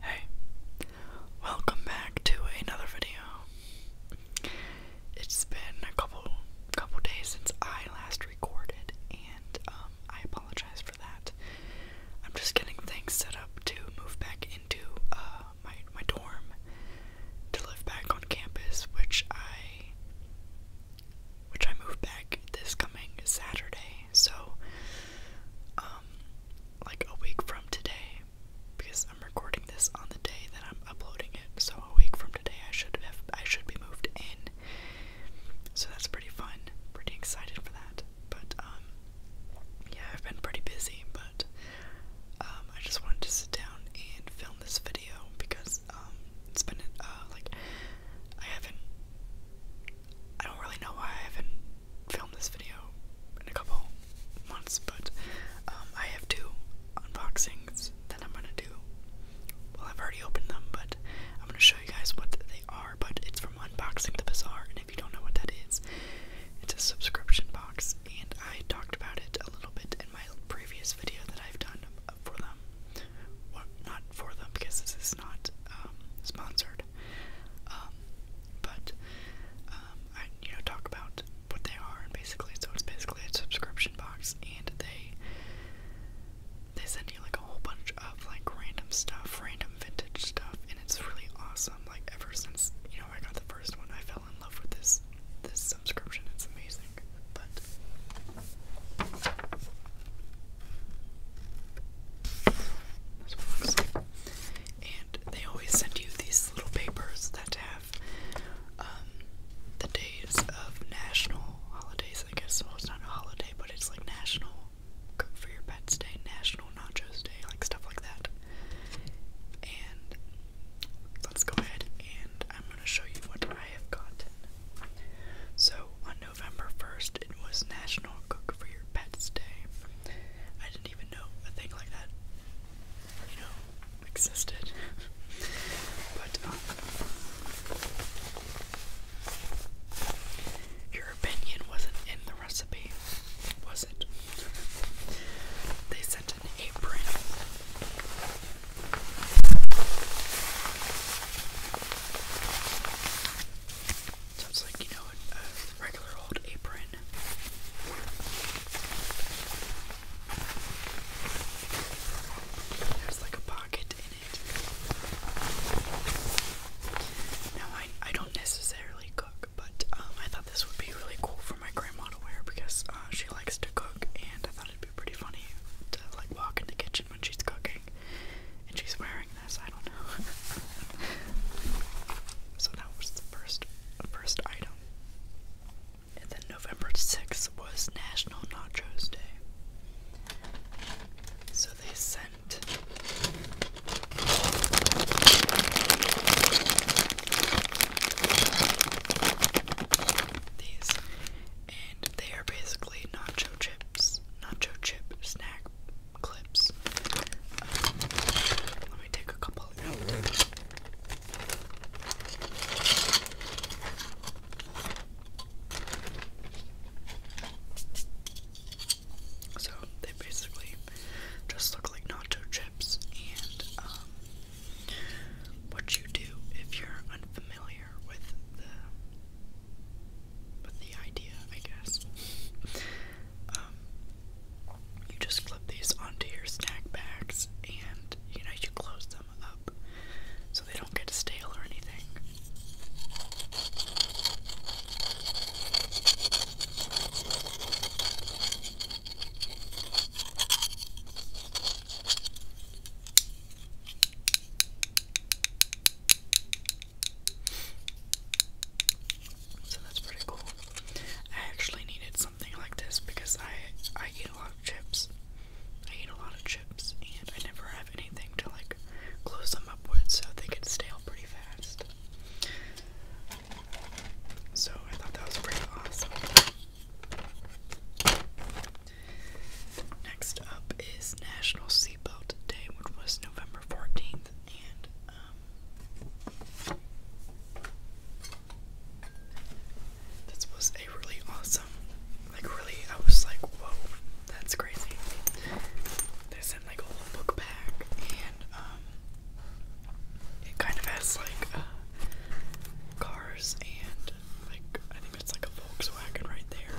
Hey, welcome back to another video. It's been a couple couple days since I last recorded, and um, I apologize for that. I'm just getting things set up to move back into uh, my my dorm to live back on campus, which I which I move back this coming Saturday. So, um, like a week from today, because I'm recording this on the day that I'm uploading it. So a week from today, I should have I should be moved in. So that's pretty fun. Pretty excited for that. But um, yeah, I've been pretty busy, but um, I just wanted to sit down and film this video because um, it's been uh, like I haven't I don't really know why I haven't filmed this video in a couple months, but um, I have two unboxings that I'm gonna do. Well, I've already opened them, but I'm gonna show you guys what they are. But it's from Unboxing the Bazaar, and if you don't know what that is, it's a subscription box, and I talked about it a little bit in my previous video that I've done uh, for them. not for them because this is not um, sponsored, um, but um, I you know talk about what they are and basically so it's basically a subscription box and they they send you like a whole bunch of like random stuff, random vintage stuff, and it's really awesome. Like ever since you know I got the first one, I fell in love with this this subscription. It's amazing. But that's what it looks like. And they always send you these little papers that have um, the days of national holidays. I guess well, it's not a holiday, but it's like National for Your Pets Day, National Nachos Day, like stuff like that. And let's go ahead and I'm going to show you what I have got. So I know. November 1st, it was National Cook for Your Pets Day. I didn't even know a thing like that, you know, existed. but, um, your opinion wasn't in the recipe, was it? They sent an apron. Sounds like, you know, a, regular old apron. There's like a pocket in it. Now, I, I don't necessarily cook, but um, I thought this would be really cool for my grandma to wear because uh, she likes to cook, and I thought it'd be pretty funny to like walk in the kitchen when she's cooking and she's wearing this, I don't know. so that was the first first item. And then November 6th was National Nachos Day. So they sent these and they are basically nacho chips, nacho chip snack clips. let me take a couple So they basically just look like nacho chips and um, what you do if you're unfamiliar with the with the idea, I guess. Um, you just clip these onto your snack bags, and you know you close them up so they don't get stale or anything. So that's pretty cool. I actually needed something like this because I I eat a lot of chips. I eat a lot of chips and I never have anything to like close them up with so they get stale pretty fast. So I thought that was pretty awesome. Next up is National Seatbelt Day, which was November 14th, and um, this was a really awesome, like really, I was like, whoa, that's crazy. They sent like a whole book pack, and um, it kind of has like uh, cars and like I think it's like a Volkswagen right there.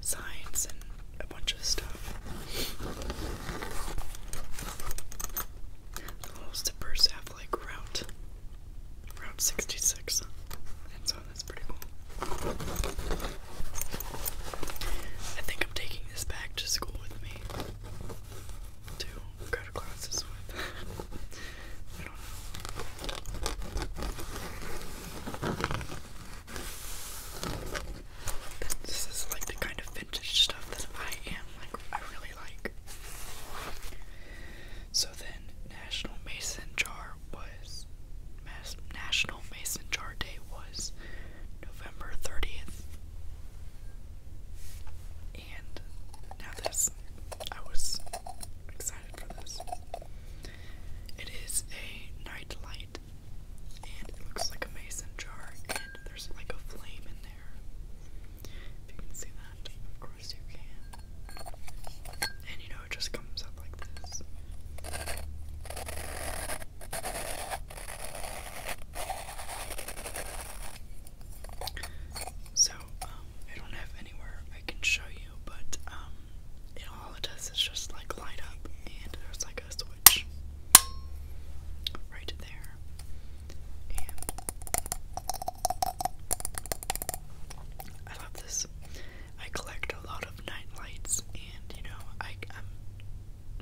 Signs and a bunch of stuff. The little zippers have like route Route 66. so oh, that's pretty cool. I think I'm taking this back to school with me. Too go classes with. This is like the kind of vintage stuff that I am like I really like. So then National Mason Jar was National Mason Jar Day was November 30th. And now this, I was excited for this. It is a night light, and it looks like a mason jar, and there's like a flame in there. If you can see that, of course you can. And you know, it just comes up like this. So, um, I don't have anywhere I can show you, but, um, it all it does is just like light up, and there's like a switch right there. And I love this. I collect a lot of night lights, and you know, I,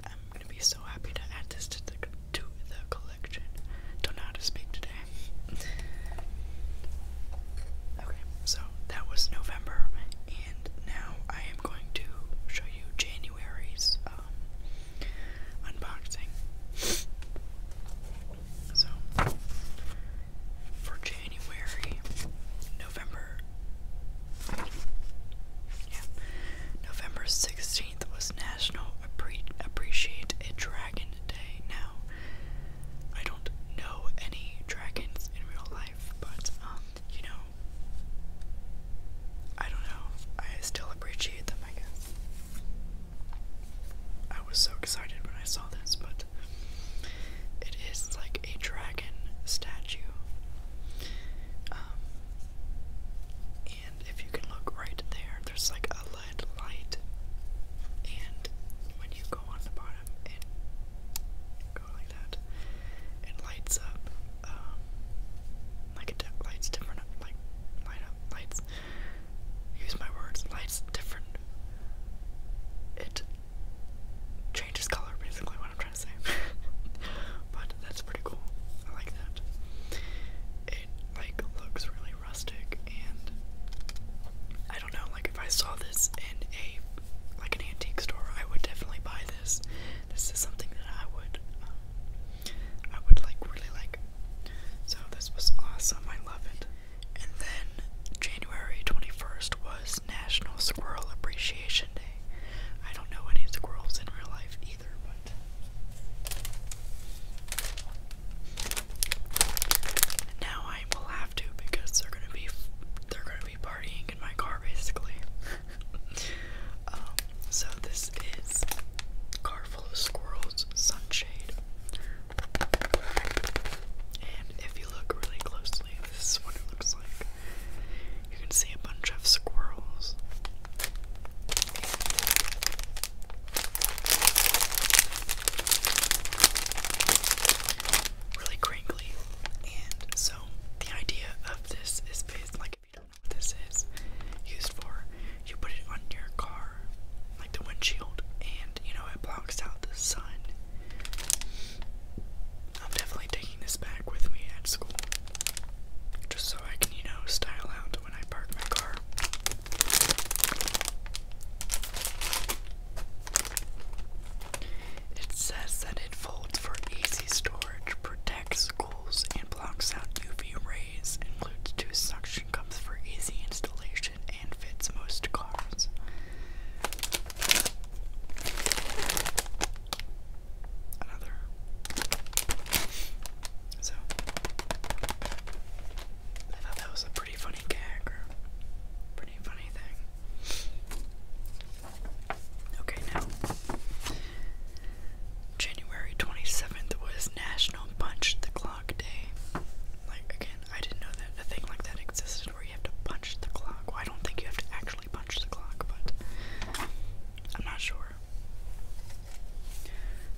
I'm gonna be so happy to add this to the to the collection. Don't know how to speak today. Okay, so that was November, and now I am going to show you January's um, unboxing. So, for January, November, yeah, November 16th was National Appreciate a Dragon Day. Now, I don't know any dragons in real life, but, um, you know, I don't know. I still appreciate them, I guess. I was so excited when I saw this, but it is like a dragon statue. Um, and if you can look right there, there's like a LED light. And when you go on the bottom, it go like that. It lights up, um, like it lights different, like light up, lights. Use my words, lights different. It changes color, basically, what I'm trying to say. but that's pretty cool. I like that. It like looks really rustic and I don't know, like if I saw this in a like an antique store, I would definitely buy this. This is something that I would um, I would like really like. So this was awesome. I love it. And then January 21st was National Squirrel Appreciation Day. I don't know any squirrels in real life now I will have to because they're gonna be they're gonna be partying in my car basically. Um, so this is car full of squirrels sunshade, and if you look really closely, this is what it looks like. You can see a bunch of squirrels. Really crinkly. And so the idea of this is based like if you don't know what this is used for, you put it on your car, like the windshield, and you know it blocks out the sun. I'm definitely taking this back with me at school. Just so I can, you know, style out when I park my car. It says that it folds for easy storage, protects schools, and blocks out UV rays, includes two suction cups for easy installation, and fits most cars another. So I thought that was a pretty funny gag pretty funny thing. Okay, now January 27th was National Punch the Clock Day. Like, again, I didn't know that a thing like that existed where you have to punch the clock. Well, I don't think you have to actually punch the clock, but I'm not sure.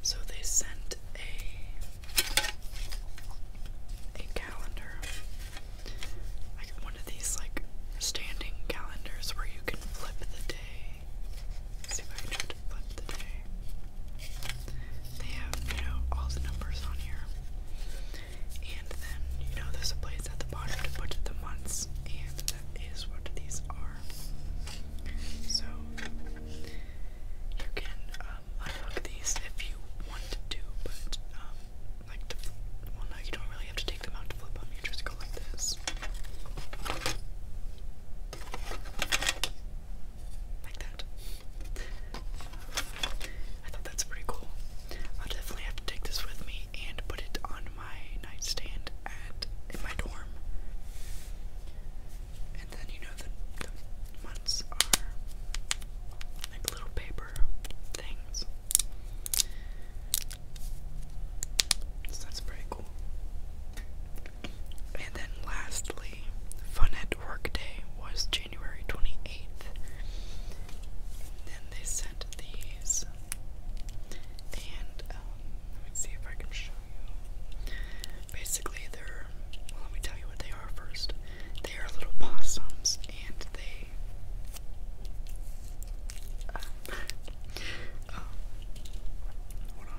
So they sent a a calendar, like one of these like standing calendars where you can flip the day. see if I can flip the day. They have you know all the numbers on here. And then, you know, there's a place at the bottom to put the months, and that is what these are. So, you can um, unhook these if you want to, do, but, um, like, to, well, no, you don't really have to take them out to flip them, you just go like this. Like that. I thought that's pretty cool. I'll definitely have to take this with me and put it on my nightstand at in my dorm. And then you know the, the are like little paper things. that's pretty cool. And then lastly, fun at work was January 28th. Then they sent these, and um, let me see if I can show you. Basically, they're well, let me tell you what they are first. They are little possums, and they. Um, um,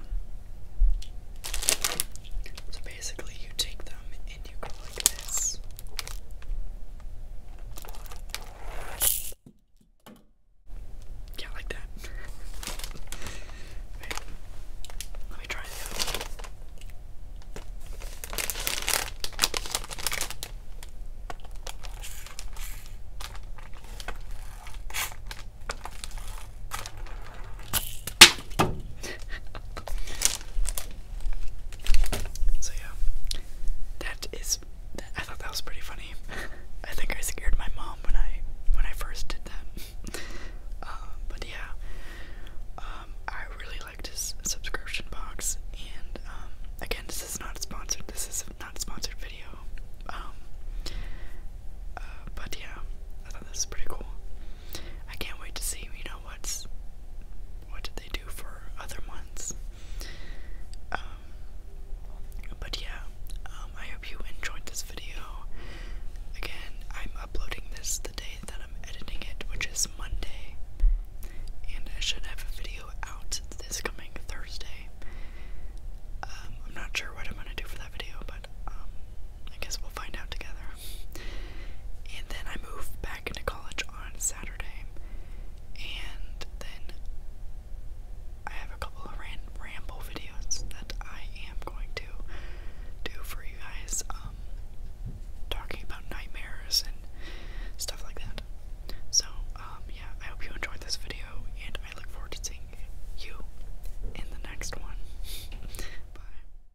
so basically, you take them and you go like this. Yeah, like that. Wait, let me try it out. So yeah, that is. I thought that was pretty funny. I think I scared my mom when I when I first did that. Um, but yeah, um, I really liked his subscription box. And um, again, this is not sponsored. This is not a sponsored video. Uh, but yeah, I thought this was pretty cool. I can't wait to see you know what's what did they do for other months? Um, but yeah, um, I hope you enjoyed this video. Again, I'm uploading this the day that I'm editing it, which is Monday, and I should have a video out this coming Thursday. Um, I'm not sure what I'm gonna do for that video, but I guess we'll find out together. And then I moved back into college on Saturday. And then I have a couple of ran ramble videos that I am going to do for you guys, um, talking about nightmares and stuff like that. So, um, yeah, I hope you enjoyed this video, and I look forward to seeing you in the next one. Bye.